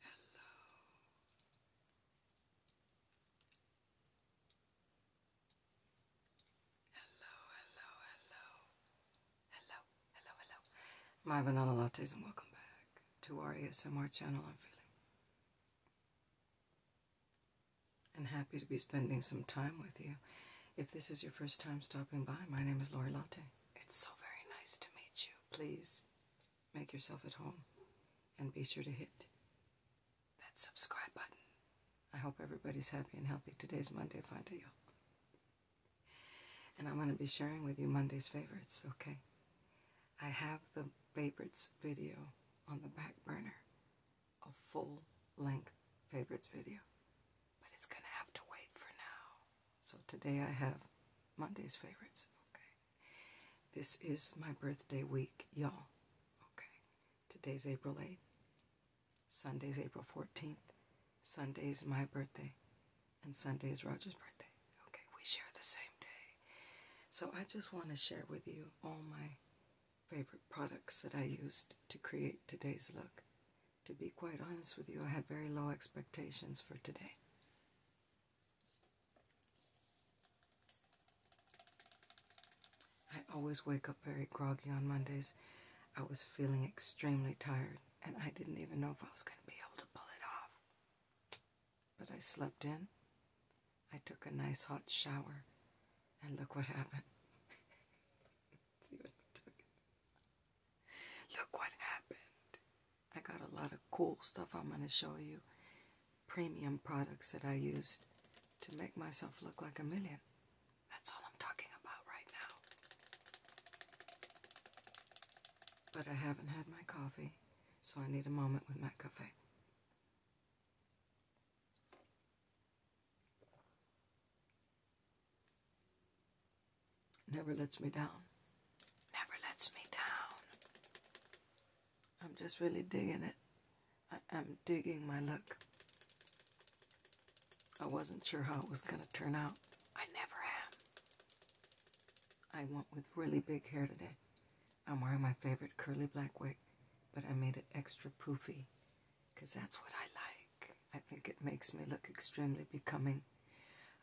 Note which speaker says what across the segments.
Speaker 1: Hello. Hello, hello, hello. Hello, hello, My banana lattes and welcome back to our ASMR channel. I'm feeling and happy to be spending some time with you. If this is your first time stopping by, my name is Lori Latte. It's so very nice to meet you. Please make yourself at home and be sure to hit that subscribe button. I hope everybody's happy and healthy. Today's Monday, fine to you. And I'm going to be sharing with you Monday's favorites, okay? I have the favorites video on the back burner a full length favorites video, but it's going to have to wait for now. So today I have Monday's favorites. Okay. This is my birthday week, y'all. Okay. Today's April 8th. Sunday's April 14th. Sunday's my birthday. And Sunday's Roger's birthday. Okay, we share the same day. So I just want to share with you all my favorite products that I used to create today's look. To be quite honest with you, I had very low expectations for today. I always wake up very groggy on Mondays. I was feeling extremely tired, and I didn't even know if I was going to be able to pull it off. But I slept in. I took a nice hot shower, and look what happened. i Look what happened. I got a lot of cool stuff I'm going to show you. Premium products that I used to make myself look like a million. That's all I'm talking about right now. But I haven't had my coffee, so I need a moment with my coffee. Never lets me down. Never lets me down. I'm just really digging it. I, am digging my look. I wasn't sure how it was going to turn out. I never am. I went with really big hair today. I'm wearing my favorite curly black wig, but I made it extra poofy because that's what I like. I think it makes me look extremely becoming.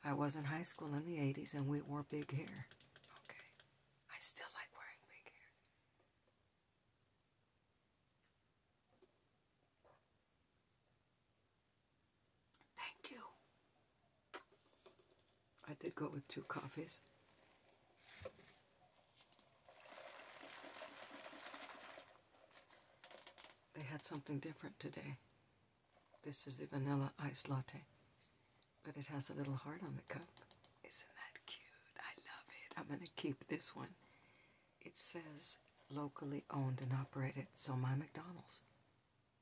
Speaker 1: I was in high school in the 80s and we wore big hair. Okay. I still like wearing big hair. Thank you. I did go with two coffees. They had something different today. This is the vanilla ice latte, but it has a little heart on the cup. Isn't that cute? I love it. I'm going to keep this one. It says locally owned and operated, so my McDonald's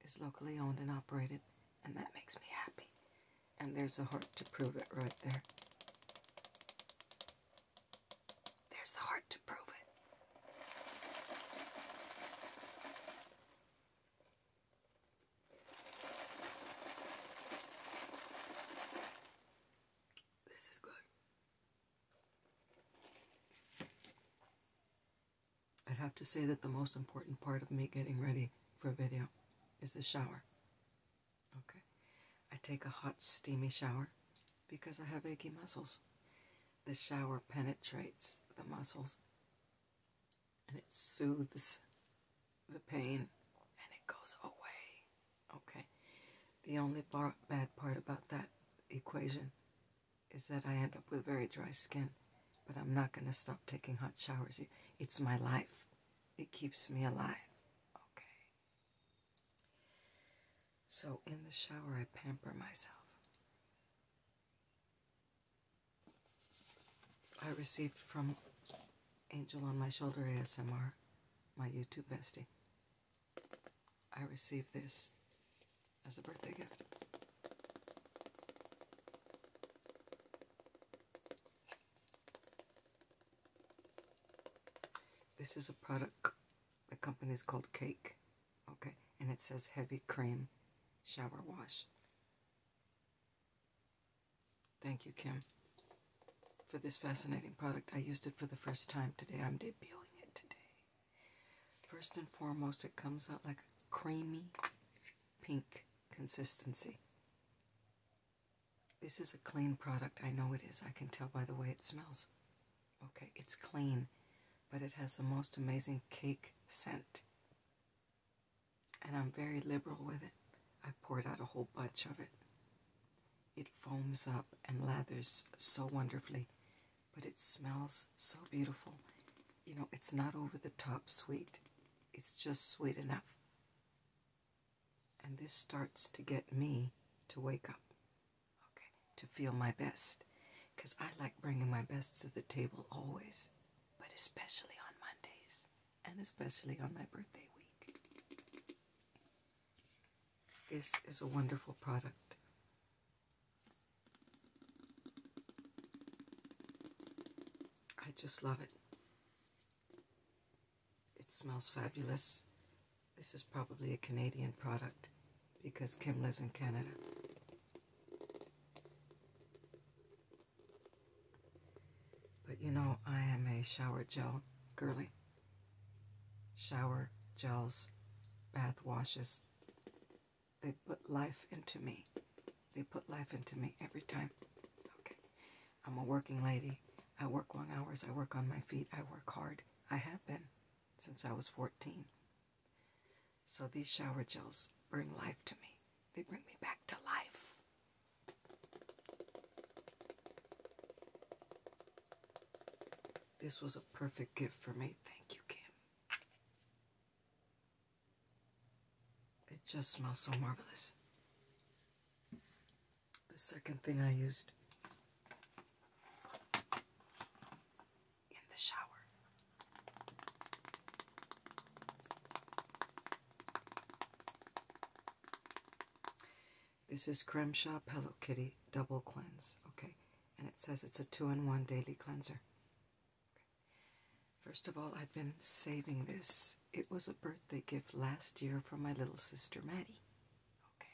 Speaker 1: is locally owned and operated, and that makes me happy. And there's a heart to prove it right there. There's the heart to prove it. This is good. I'd have to say that the most important part of me getting ready for a video is the shower. Okay. I take a hot, steamy shower because I have achy muscles. The shower penetrates the muscles and it soothes the pain and it goes away. Okay. The only bad part about that equation is that I end up with very dry skin, but I'm not going to stop taking hot showers. It's my life. It keeps me alive. Okay. So in the shower, I pamper myself. I received from Angel on My Shoulder ASMR, my YouTube bestie. I received this as a birthday gift. This is a product the company is called Cake. Okay, and it says Heavy Cream Shower Wash. Thank you, Kim, for this fascinating product. I used it for the first time today. I'm debuting it today. First and foremost, it comes out like a creamy pink consistency. This is a clean product. I know it is. I can tell by the way it smells. Okay, it's clean, but it has the most amazing cake scent. And I'm very liberal with it. I poured out a whole bunch of it. It foams up and lathers so wonderfully, but it smells so beautiful. You know, it's not over the top sweet. It's just sweet enough. And this starts to get me to wake up. Okay, to feel my best. Because I like bringing my best to the table always, but especially on Mondays and especially on my birthday week. This is a wonderful product. I just love it. It smells fabulous. This is probably a Canadian product because Kim lives in Canada. But you know, I am a shower gel girly. Shower gels, bath washes. They put life into me. They put life into me every time. Okay. I'm a working lady. I work long hours. I work on my feet. I work hard. I have been since I was 14. So these shower gels bring life to me. They bring me back to life. This was a perfect gift for me. Thank you, Kim. It just smells so marvelous the second thing I used in the shower. This is Creme Shop Hello Kitty Double Cleanse. Okay, and it says it's a two in one daily cleanser. First of all, I've been saving this. It was a birthday gift last year from my little sister Maddie. Okay,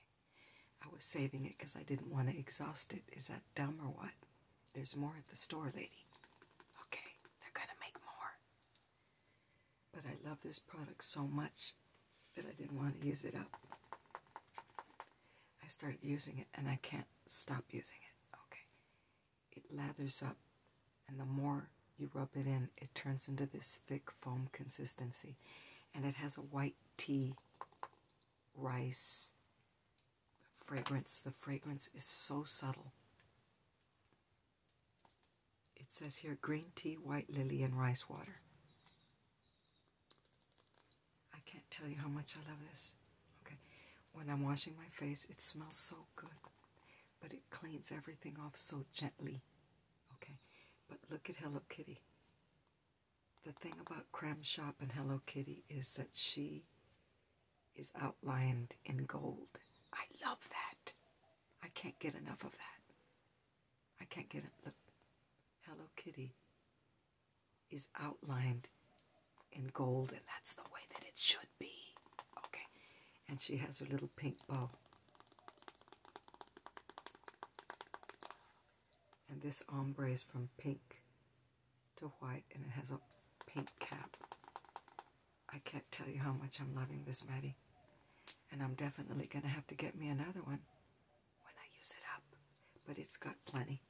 Speaker 1: I was saving it because I didn't want to exhaust it. Is that dumb or what? There's more at the store, lady. Okay, they're going to make more. But I love this product so much that I didn't want to use it up. I started using it and I can't stop using it. Okay. It lathers up, and the more you rub it in, it turns into this thick foam consistency. And it has a white tea, rice, fragrance. The fragrance is so subtle. It says here green tea, white lily, and rice water. I can't tell you how much I love this. Okay, when I'm washing my face, it smells so good, but it cleans everything off so gently. Okay, but look at Hello Kitty the thing about Creme Shop and Hello Kitty is that she is outlined in gold. I love that. I can't get enough of that. I can't get it. Look, Hello Kitty is outlined in gold, and that's the way that it should be. Okay, and she has her little pink bow. And this ombre is from pink to white, and it has a pink cap. I can't tell you how much I'm loving this, Maddie. And I'm definitely going to have to get me another one when I use it up. But it's got plenty.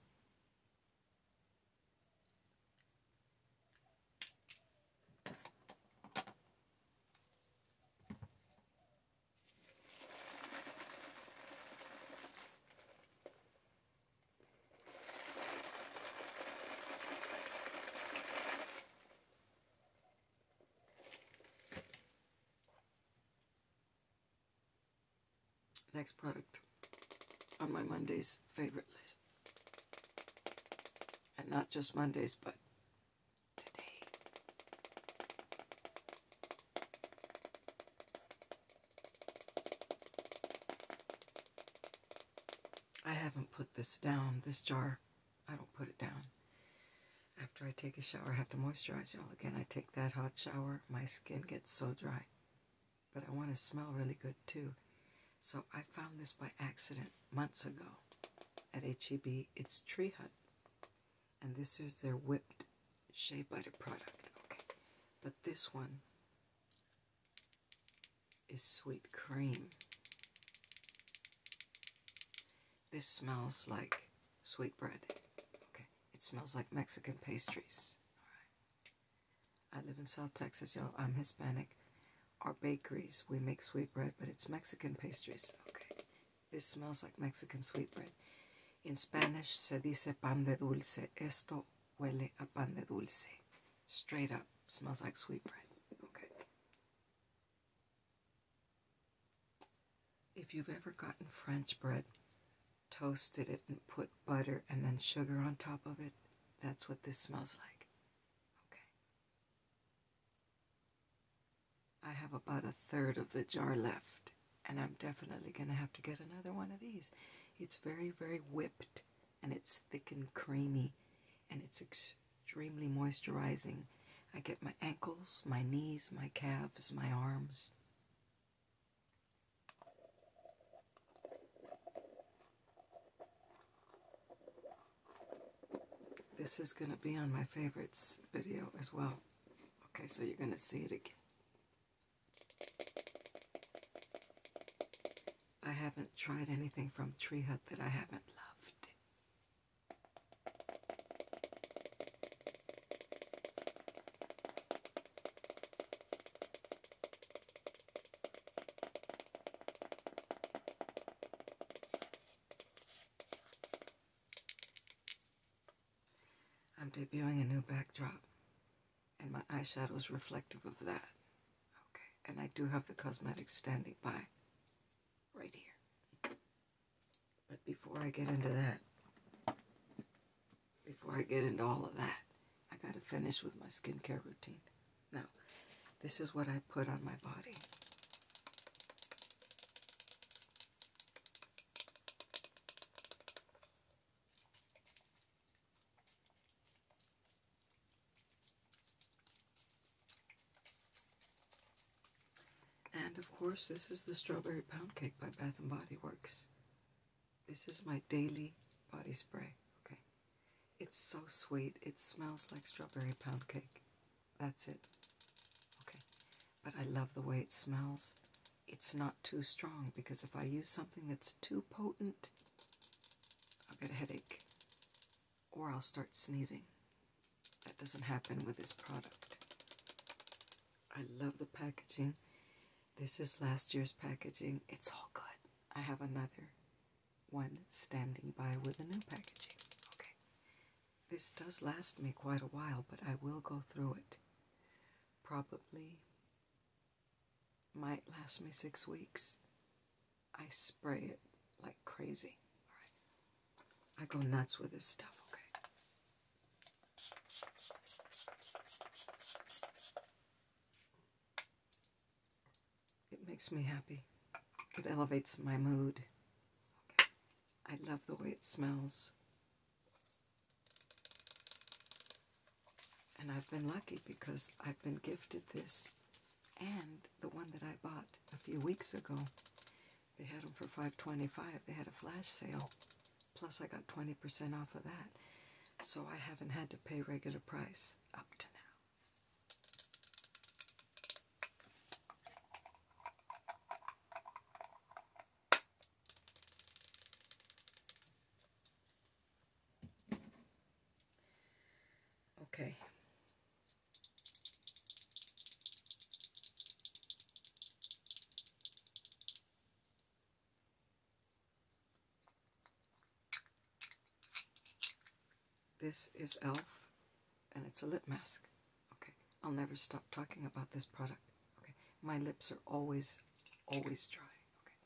Speaker 1: Next product on my Monday's favorite list. And not just Mondays, but today. I haven't put this down, this jar. I don't put it down. After I take a shower, I have to moisturize y'all. Again, I take that hot shower. My skin gets so dry. But I want to smell really good too. So I found this by accident months ago at HEB. It's Tree Hut and this is their whipped shea butter product. Okay, but this one is sweet cream. This smells like sweet bread. Okay, it smells like Mexican pastries. I live in South Texas, y'all. I'm Hispanic. Our bakeries, we make sweet bread, but it's Mexican pastries. Okay, this smells like Mexican sweetbread. In Spanish se dice pan de dulce. Esto huele a pan de dulce. Straight up smells like sweetbread. Okay. If you've ever gotten French bread, toasted it and put butter and then sugar on top of it, that's what this smells like. Okay. I have about a third of the jar left, and I'm definitely going to have to get another one of these. It's very, very whipped, and it's thick and creamy, and it's extremely moisturizing. I get my ankles, my knees, my calves, my arms. This is going to be on my favorites video as well. Okay, so you're going to see it again. I haven't tried anything from Tree Hut that I haven't loved. I'm debuting a new backdrop, and my eyeshadow is reflective of that. Okay, and I do have the cosmetics standing by right here. But before I get into that, before I get into all of that, I gotta finish with my skincare routine. Now, this is what I put on my body. And of course, this is the Strawberry Pound Cake by Bath and Body Works. This is my daily body spray. Okay. It's so sweet. It smells like strawberry pound cake. That's it. Okay. But I love the way it smells it's not too strong because if I use something that's too potent, I'll get a headache or I'll start sneezing. That doesn't happen with this product. I love the packaging. This is last year's packaging. It's all good. I have another one standing by with a new packaging. Okay. This does last me quite a while, but I will go through it. Probably might last me six weeks. I spray it like crazy. I go nuts with this stuff, okay? It makes me happy. It elevates my mood. I love the way it smells. And I've been lucky because I've been gifted this and the one that I bought a few weeks ago. They had them for $5.25. They had a flash sale. Plus I got 20% off of that. So I haven't had to pay regular price up to now. Okay. This is e.l.f. and it's a lip mask. Okay, I'll never stop talking about this product. Okay, my lips are always, always dry. Okay,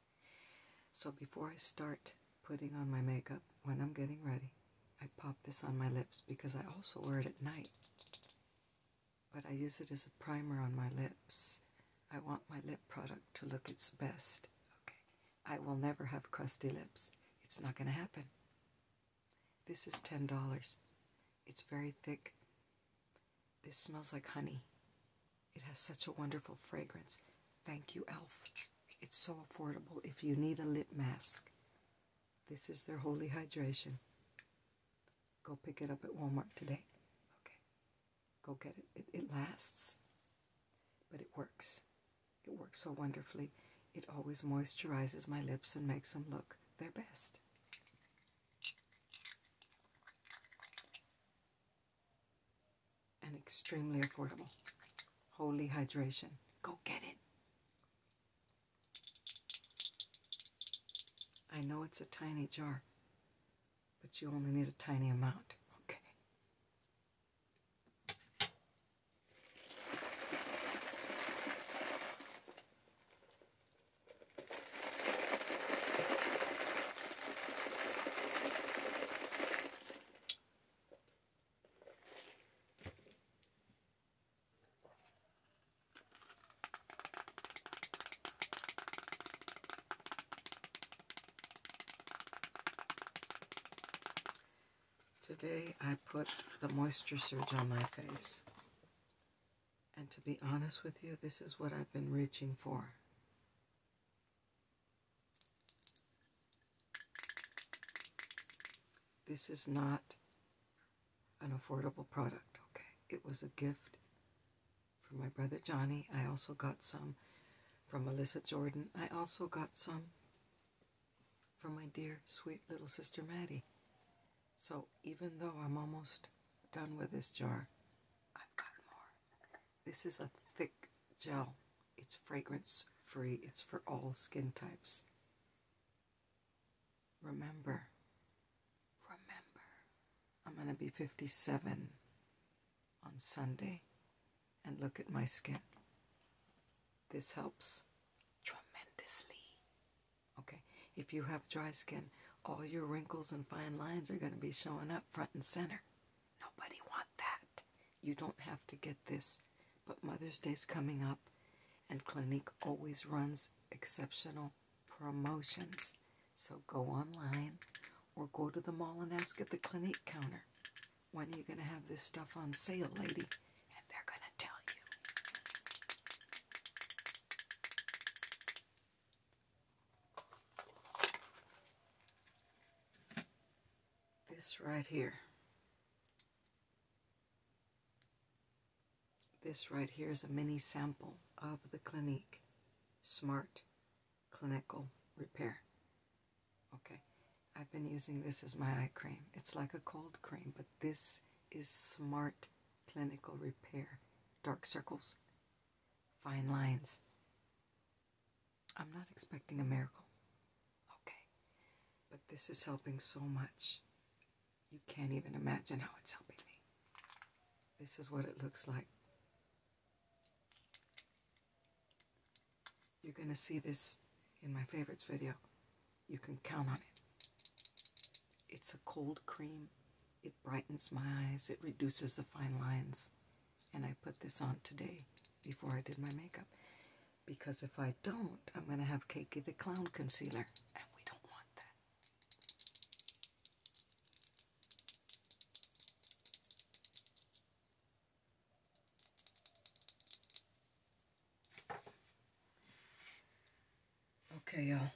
Speaker 1: so before I start putting on my makeup, when I'm getting ready, I pop this on my lips because I also wear it at night. But I use it as a primer on my lips. I want my lip product to look its best. Okay, I will never have crusty lips. It's not going to happen. This is $10. It's very thick. This smells like honey. It has such a wonderful fragrance. Thank you, Elf. It's so affordable if you need a lip mask. This is their Holy Hydration. Go pick it up at Walmart today. Okay. Go get it. It, it lasts, but it works. It works so wonderfully. It always moisturizes my lips and makes them look their best. And extremely affordable. Holy hydration. Go get it. I know it's a tiny jar, but you only need a tiny amount. Okay. Today I put the moisture surge on my face. And to be honest with you, this is what I've been reaching for. This is not an affordable product, okay? It was a gift from my brother Johnny. I also got some from Melissa Jordan. I also got some from my dear, sweet little sister Maddie. So even though I'm almost done with this jar, I've got more. This is a thick gel. It's fragrance free. It's for all skin types. Remember, remember, I'm going to be 57 on Sunday and look at my skin. This helps tremendously. Okay, if you have dry skin, all your wrinkles and fine lines are going to be showing up front and center. Nobody want that. You don't have to get this, but Mother's Day's coming up, and Clinique always runs exceptional promotions. So go online or go to the mall and ask at the Clinique counter. When are you going to have this stuff on sale, lady? And they're going to tell you. This right here. This right here is a mini sample of the Clinique Smart Clinical Repair. Okay, I've been using this as my eye cream. It's like a cold cream, but this is Smart clinical repair, dark circles, fine lines. I'm not expecting a miracle, okay? But this is helping so much. You can't even imagine how it's helping me. This is what it looks like. You're going to see this in my favorites video. You can count on it. It's a cold cream it brightens my eyes, it reduces the fine lines. And I put this on today before I did my makeup. Because if I don't, I'm going to have Cakey the Clown Concealer. And we don't want that. Okay, y'all.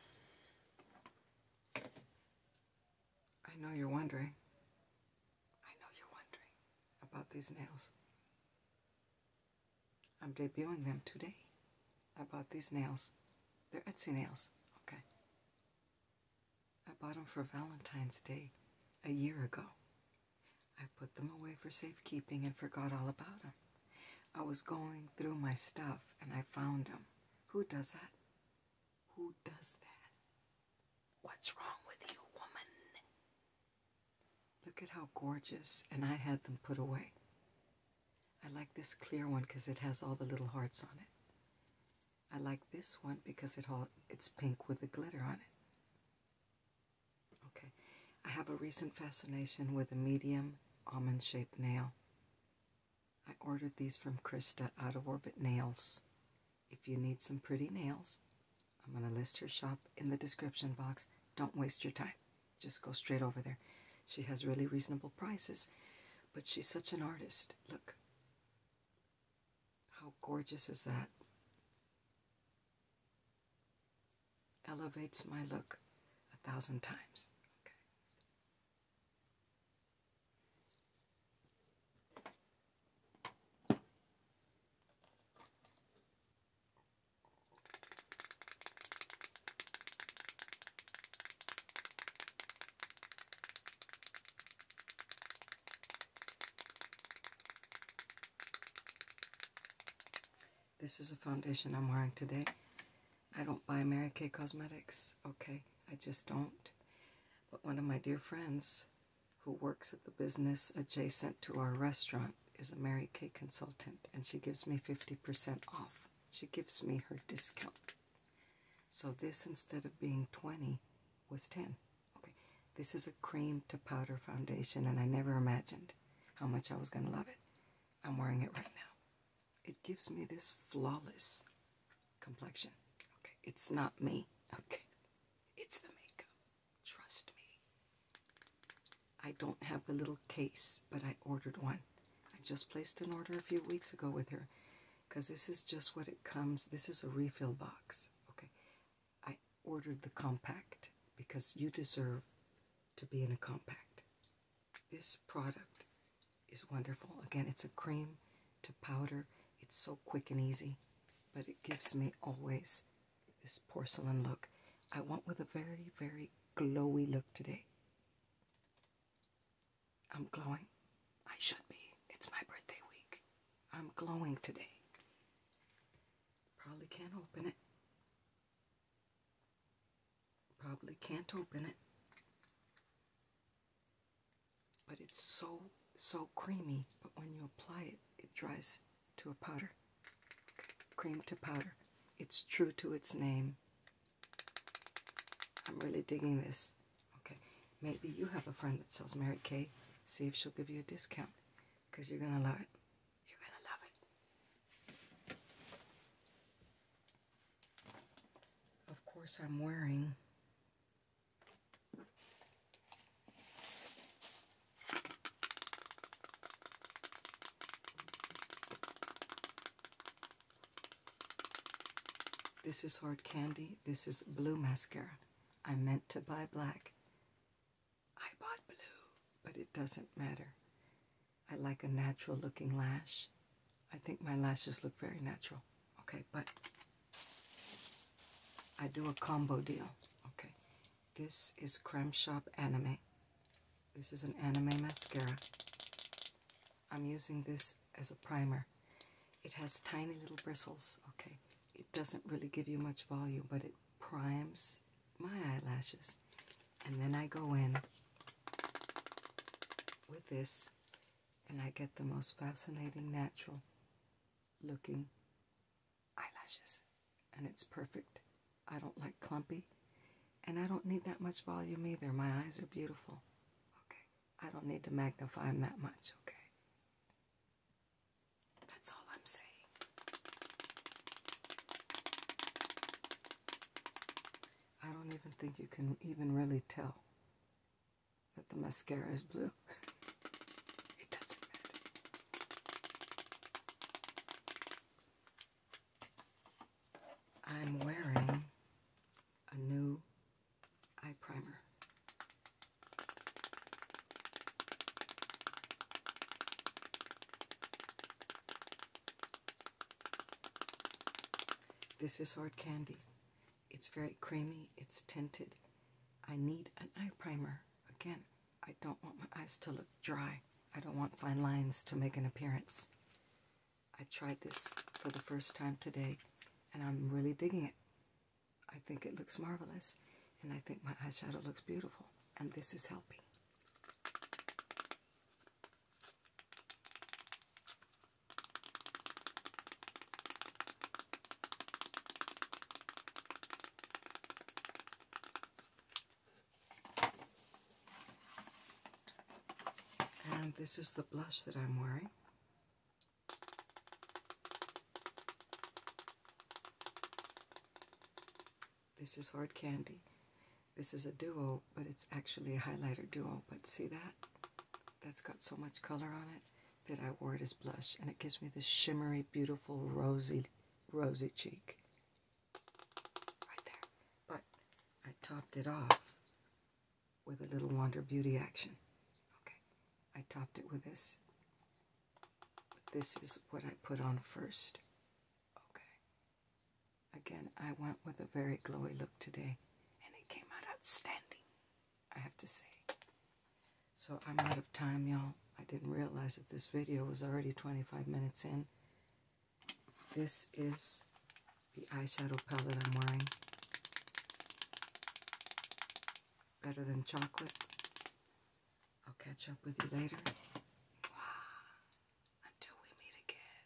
Speaker 1: I know you're wondering. I know you're wondering about these nails. I'm debuting them today. I bought these nails. They're Etsy nails. Okay. I bought them for Valentine's Day a year ago. I put them away for safekeeping and forgot all about them. I was going through my stuff and I found them. Who does that? Who does that? What's wrong with you, woman? Look at how gorgeous, and I had them put away. I like this clear one because it has all the little hearts on it. I like this one because it all, it's pink with the glitter on it. Okay, I have a recent fascination with a medium almond-shaped nail. I ordered these from Krista out of Orbit Nails. If you need some pretty nails, I'm going to list her shop in the description box. Don't waste your time. Just go straight over there. She has really reasonable prices, but she's such an artist. Look. How gorgeous is that? Elevates my look a thousand times. Okay. This is a foundation I'm wearing today. I don't buy Mary Kay Cosmetics, okay? I just don't. But one of my dear friends who works at the business adjacent to our restaurant is a Mary Kay consultant, and she gives me 50% off. She gives me her discount. So this, instead of being 20, was 10. Okay, this is a cream to powder foundation, and I never imagined how much I was going to love it. I'm wearing it right now it gives me this flawless complexion. Okay, it's not me. Okay, it's the makeup. Trust me. I don't have the little case, but I ordered one. I just placed an order a few weeks ago with her because this is just what it comes. This is a refill box. Okay, I ordered the compact because you deserve to be in a compact. This product is wonderful. Again, it's a cream to powder. It's so quick and easy, but it gives me always this porcelain look. I went with a very, very glowy look today. I'm glowing. I should be. It's my birthday week. I'm glowing today. Probably can't open it. Probably can't open it. But it's so, so creamy. But when you apply it, it dries to a powder. Cream to powder. It's true to its name. I'm really digging this. Okay, maybe you have a friend that sells Mary Kay. See if she'll give you a discount. Because you're going to love it. You're going to love it of course, I'm wearing This is Hard Candy. This is Blue Mascara. I meant to buy black. I bought blue, but it doesn't matter. I like a natural looking lash. I think my lashes look very natural. Okay, but I do a combo deal. Okay, this is Creme Shop Anime. This is an anime mascara. I'm using this as a primer. It has tiny little bristles, okay? It doesn't really give you much volume, but it primes my eyelashes. And then I go in with this and I get the most fascinating, natural looking eyelashes. And it's perfect. I don't like clumpy, and I don't need that much volume either. My eyes are beautiful. Okay, I don't need to magnify them that much. Okay. That's all I'm saying. I don't even think you can even really tell that the mascara is blue. I'm wearing a new eye primer. This is hard candy. It's very creamy, it's tinted. I need an eye primer. Again, I don't want my eyes to look dry. I don't want fine lines to make an appearance. I tried this for the first time today and I'm really digging it. I think it looks marvelous and I think my eyeshadow looks beautiful and this is helping. And this is the blush that I'm wearing. This is Hard Candy. This is a duo but it's actually a highlighter duo. But see that? That's got so much color on it that I wore it as blush, and it gives me this shimmery, beautiful, rosy, rosy cheek. Right there. But I topped it off with a little Wonder Beauty action. Okay, I topped it with this. this is what I put on first. Okay. Again, I went with a very glowy look today, and it came out outstanding, I have to say. So I'm out of time, y'all. I didn't realize that this video was already 25 minutes in. This is the eyeshadow palette I'm wearing. Better than chocolate. I'll catch up with you later. Until we meet again.